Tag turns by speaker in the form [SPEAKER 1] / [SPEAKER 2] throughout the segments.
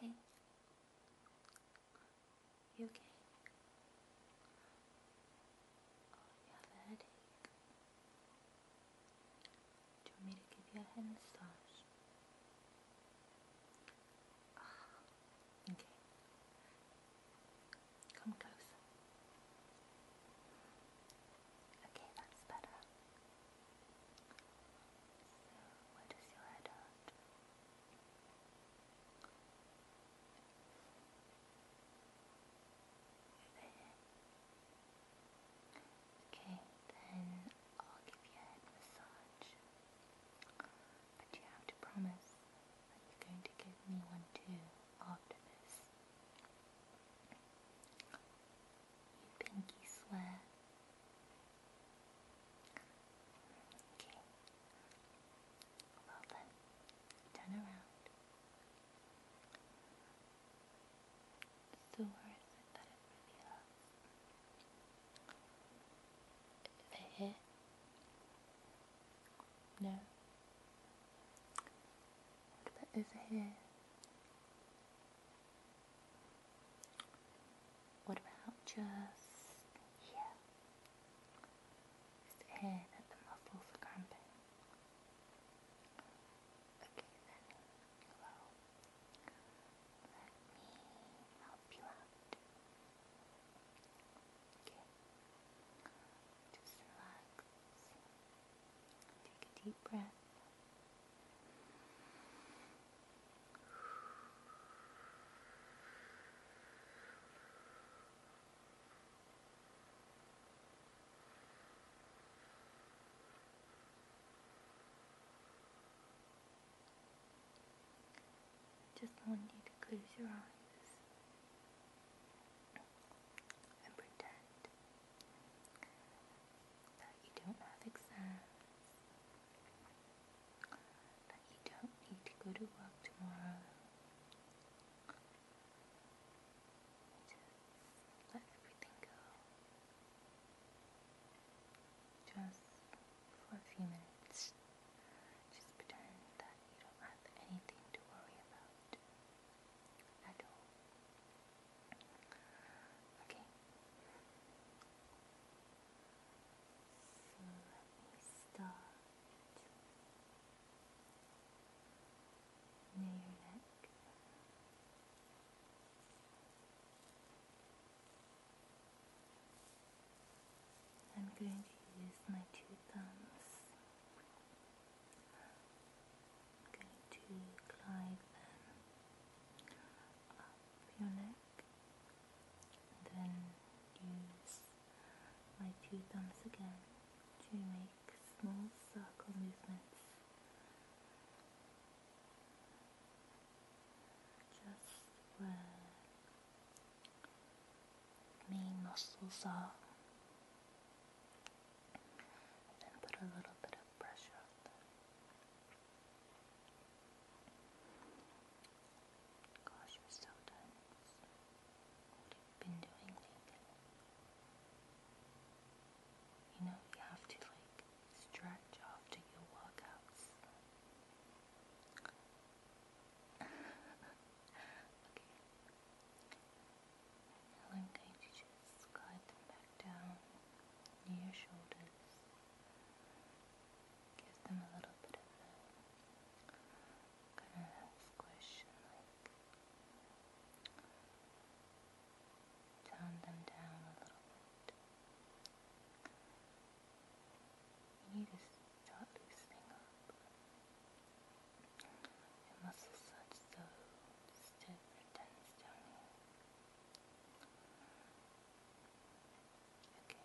[SPEAKER 1] Hey, you okay? Oh, you have a headache. Do you want me to give you a head massage? okay. Come closer. Okay, that's better. Where does your head hurt? Okay, then I'll give you a head massage. But you have to promise that you're going to give me one too after this. Pinky swear. Okay. Well then, turn around. So where is it that here? No. over here? What about just here? Just here that the muscles are Okay then, well, let me help you out. Okay, just relax. Take a deep breath. Just want you to close your eyes and pretend that you don't have exams, that you don't need to go to work tomorrow. Just let everything go. Just for a few minutes. Just pretend that you don't have anything to worry about Okay, let me start near your neck. I'm going to use my two thumbs. I'm going to glide them up your neck. Then use my two thumbs again to make small circle movements just where main muscles are. then put a little bit of pressure Gosh, we're so done. What have you been doing You know, you have to like stretch after your workouts. okay. Now I'm going to just glide them back down near your shoulders. Gives them a little bit of kind of squish tone them down a little bit. You need to start loosening up. Your muscles are so stiff and tense Okay.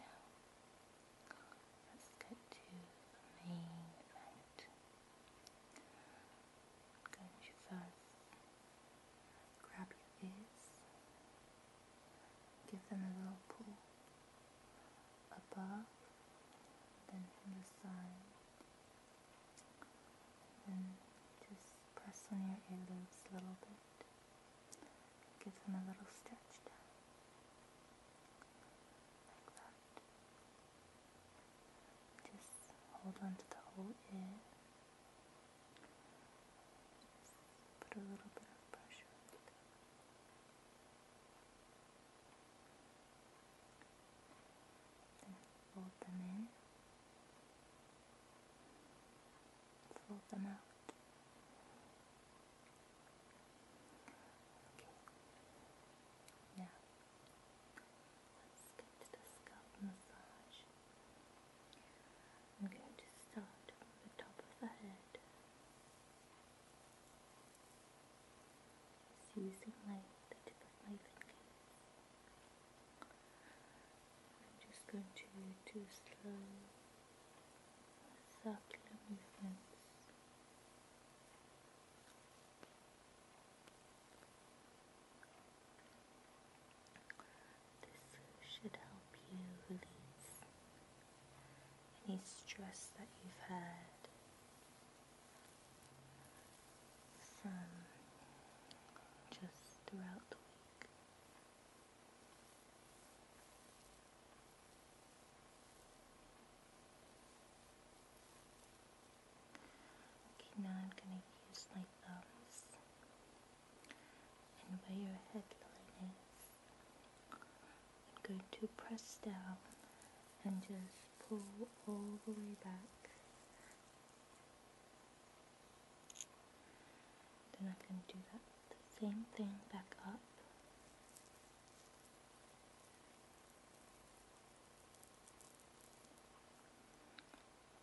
[SPEAKER 1] Now, let's get to the main event. I'm going grab your ears, give them a little pull above, then from the side, and just press on your earlobes a little bit. Give them a little stretch down. Like that. Just hold on to the whole ear. Just put a little bit of pressure on it. Then fold them in. Fold them out. Now, let's get to the scalp massage. I'm going to start from the top of the head. using my, the tip I'm just going to do slow, circular movements. This should help you release any stress that you've had just throughout the week. Okay, now I'm going to use my thumbs and where your headline is. I'm going to press down and just pull all the way back then I can do that same thing back up.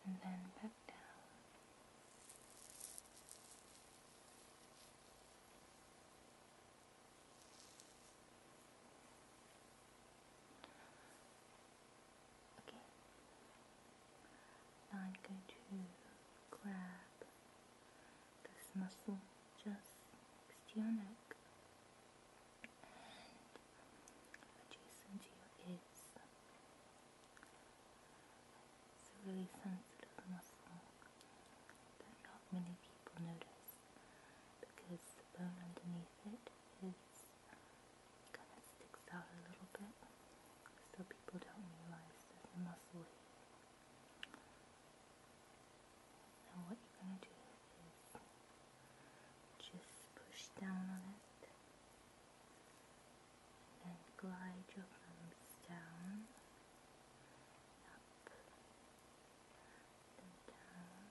[SPEAKER 1] And then back down. Okay. I'm going to grab this muscle just next to your neck and adjacent to your ears. It's a really sensitive muscle that not many people notice because the bone underneath it is kind of sticks out a little bit so people don't realize there's a muscle here. what you're going to do is just push down on it and glide your thumbs down, up, then down,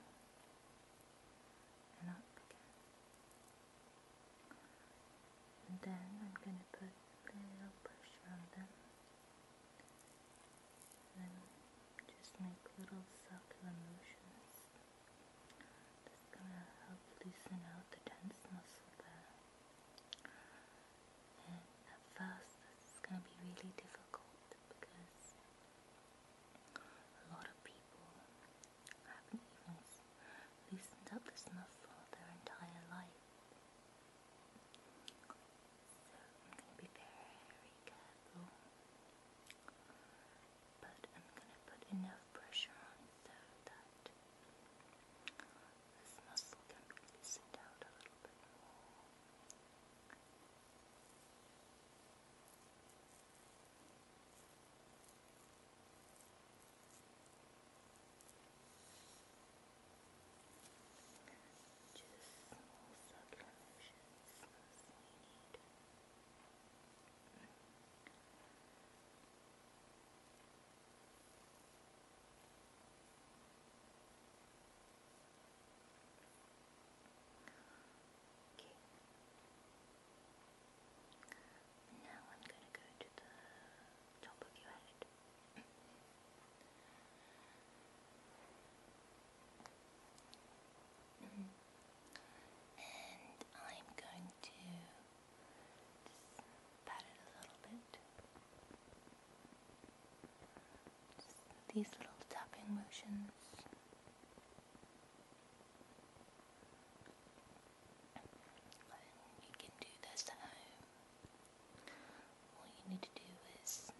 [SPEAKER 1] and up again. And then I'm going to put a little pressure on them. And then just make little circular motions. That's going to help loosen out the tense muscle there. And at first this is going to be really difficult because a lot of people haven't even loosened up this muscle their entire life. So I'm going to be very careful, but I'm going to put enough pressure on so that this muscle can be loosened out a little bit more. Just small subdivisions as we need. Okay. Now I'm going to go to the top of your head. and I'm going to just pat it a little bit. Just these little tapping motions. And you can do this at home. All you need to do is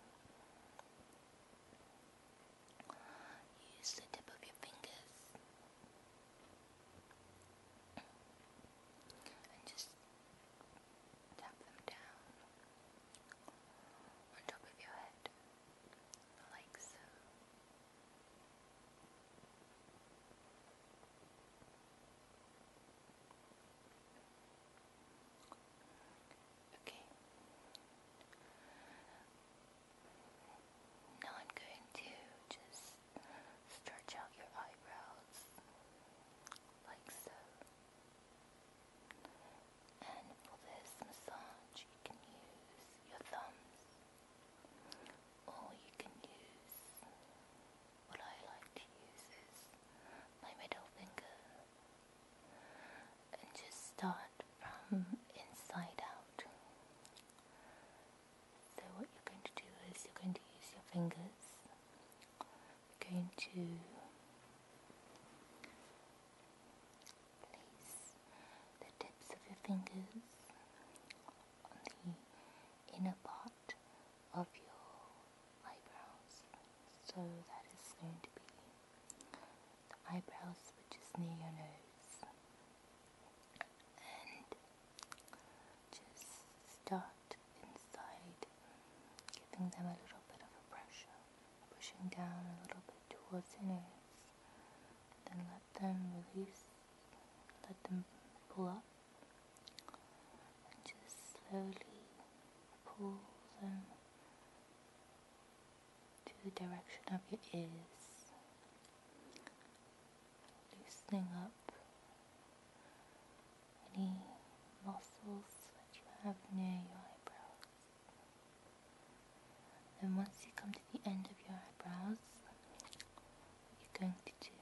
[SPEAKER 1] use the tip of your fingers and just tap them down on top of your head, like so. Okay. Now I'm going to just stretch out your eyebrows like so. And for this massage, you can use your thumbs or you can use what I like to use is my middle finger and just start from inside out. So what you're going to do is you're going to use your fingers. You're going to place the tips of your fingers on the inner part of your eyebrows. So that is going to be the eyebrows which is near your nose. And just start inside, giving them a little bit of a pressure, pushing down a little bit towards the nose, then then release, let them pull up, just slowly pull them to the direction of your ears, loosening up any muscles that you have near your eyebrows. Then once you come to the end of your eyebrows, what you're going to do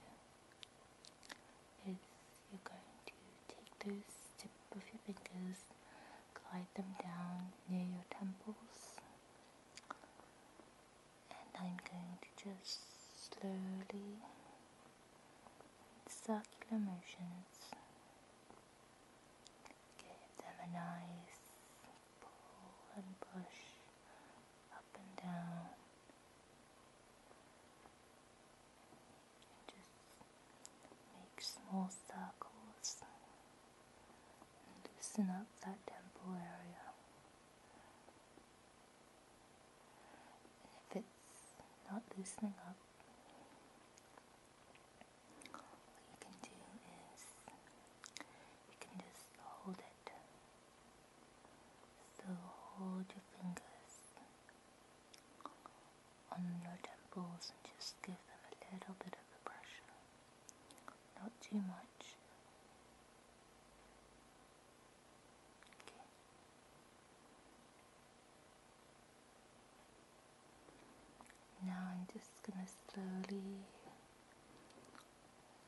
[SPEAKER 1] is you're going to take those tips of your fingers, glide them down near your temples, and I'm going to just slowly, circular motions, give them a nice pull and push up and down. Just make small circles and loosen up that temple area. And if it's not loosening up, what you can do is you can just hold it so hold your fingers on your temples and just give them a little bit of pressure. Not too much. Now I'm just gonna slowly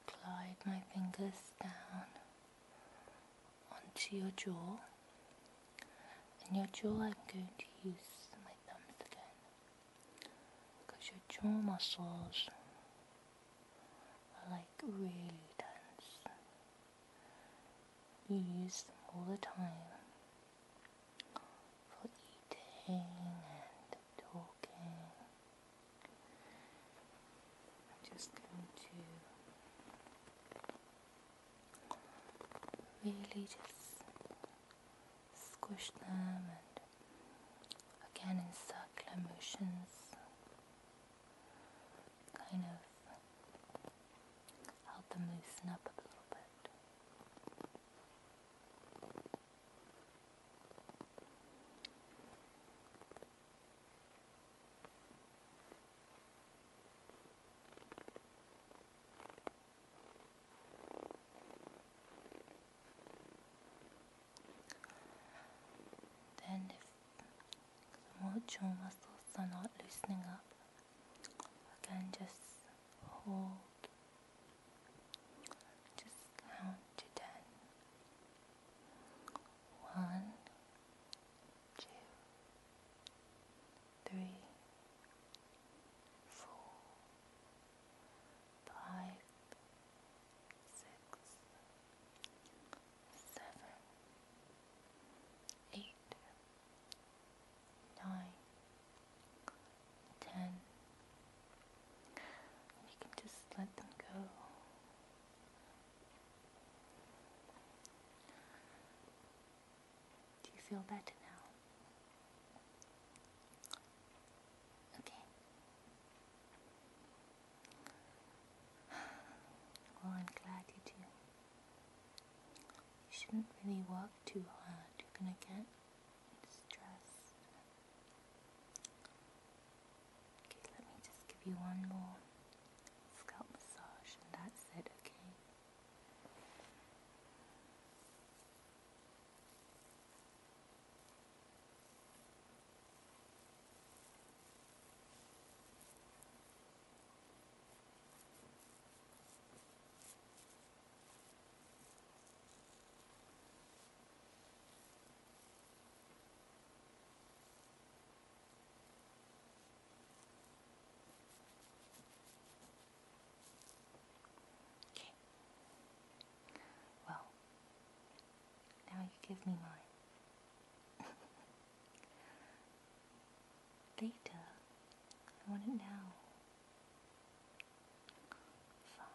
[SPEAKER 1] glide my fingers down onto your jaw. And your jaw, I'm going to use my thumbs again because your jaw muscles are like really tense. You use them all the time for eating and talking I'm just going to really just squish them and again in circular motions kind of help them loosen up a little bit. Then, if the motor muscles are not loosening up, again just hold, just count to ten. One, two, three, four, five, six, seven, eight, nine, ten. We can just let them go. Do you feel better now? Okay. Well, I'm glad you do. You shouldn't really work too hard. You're gonna get stressed. Okay, let me just give you one more scalp massage and that's it, okay? Okay, well, now you give me mine. Theta. I want it now. Fine.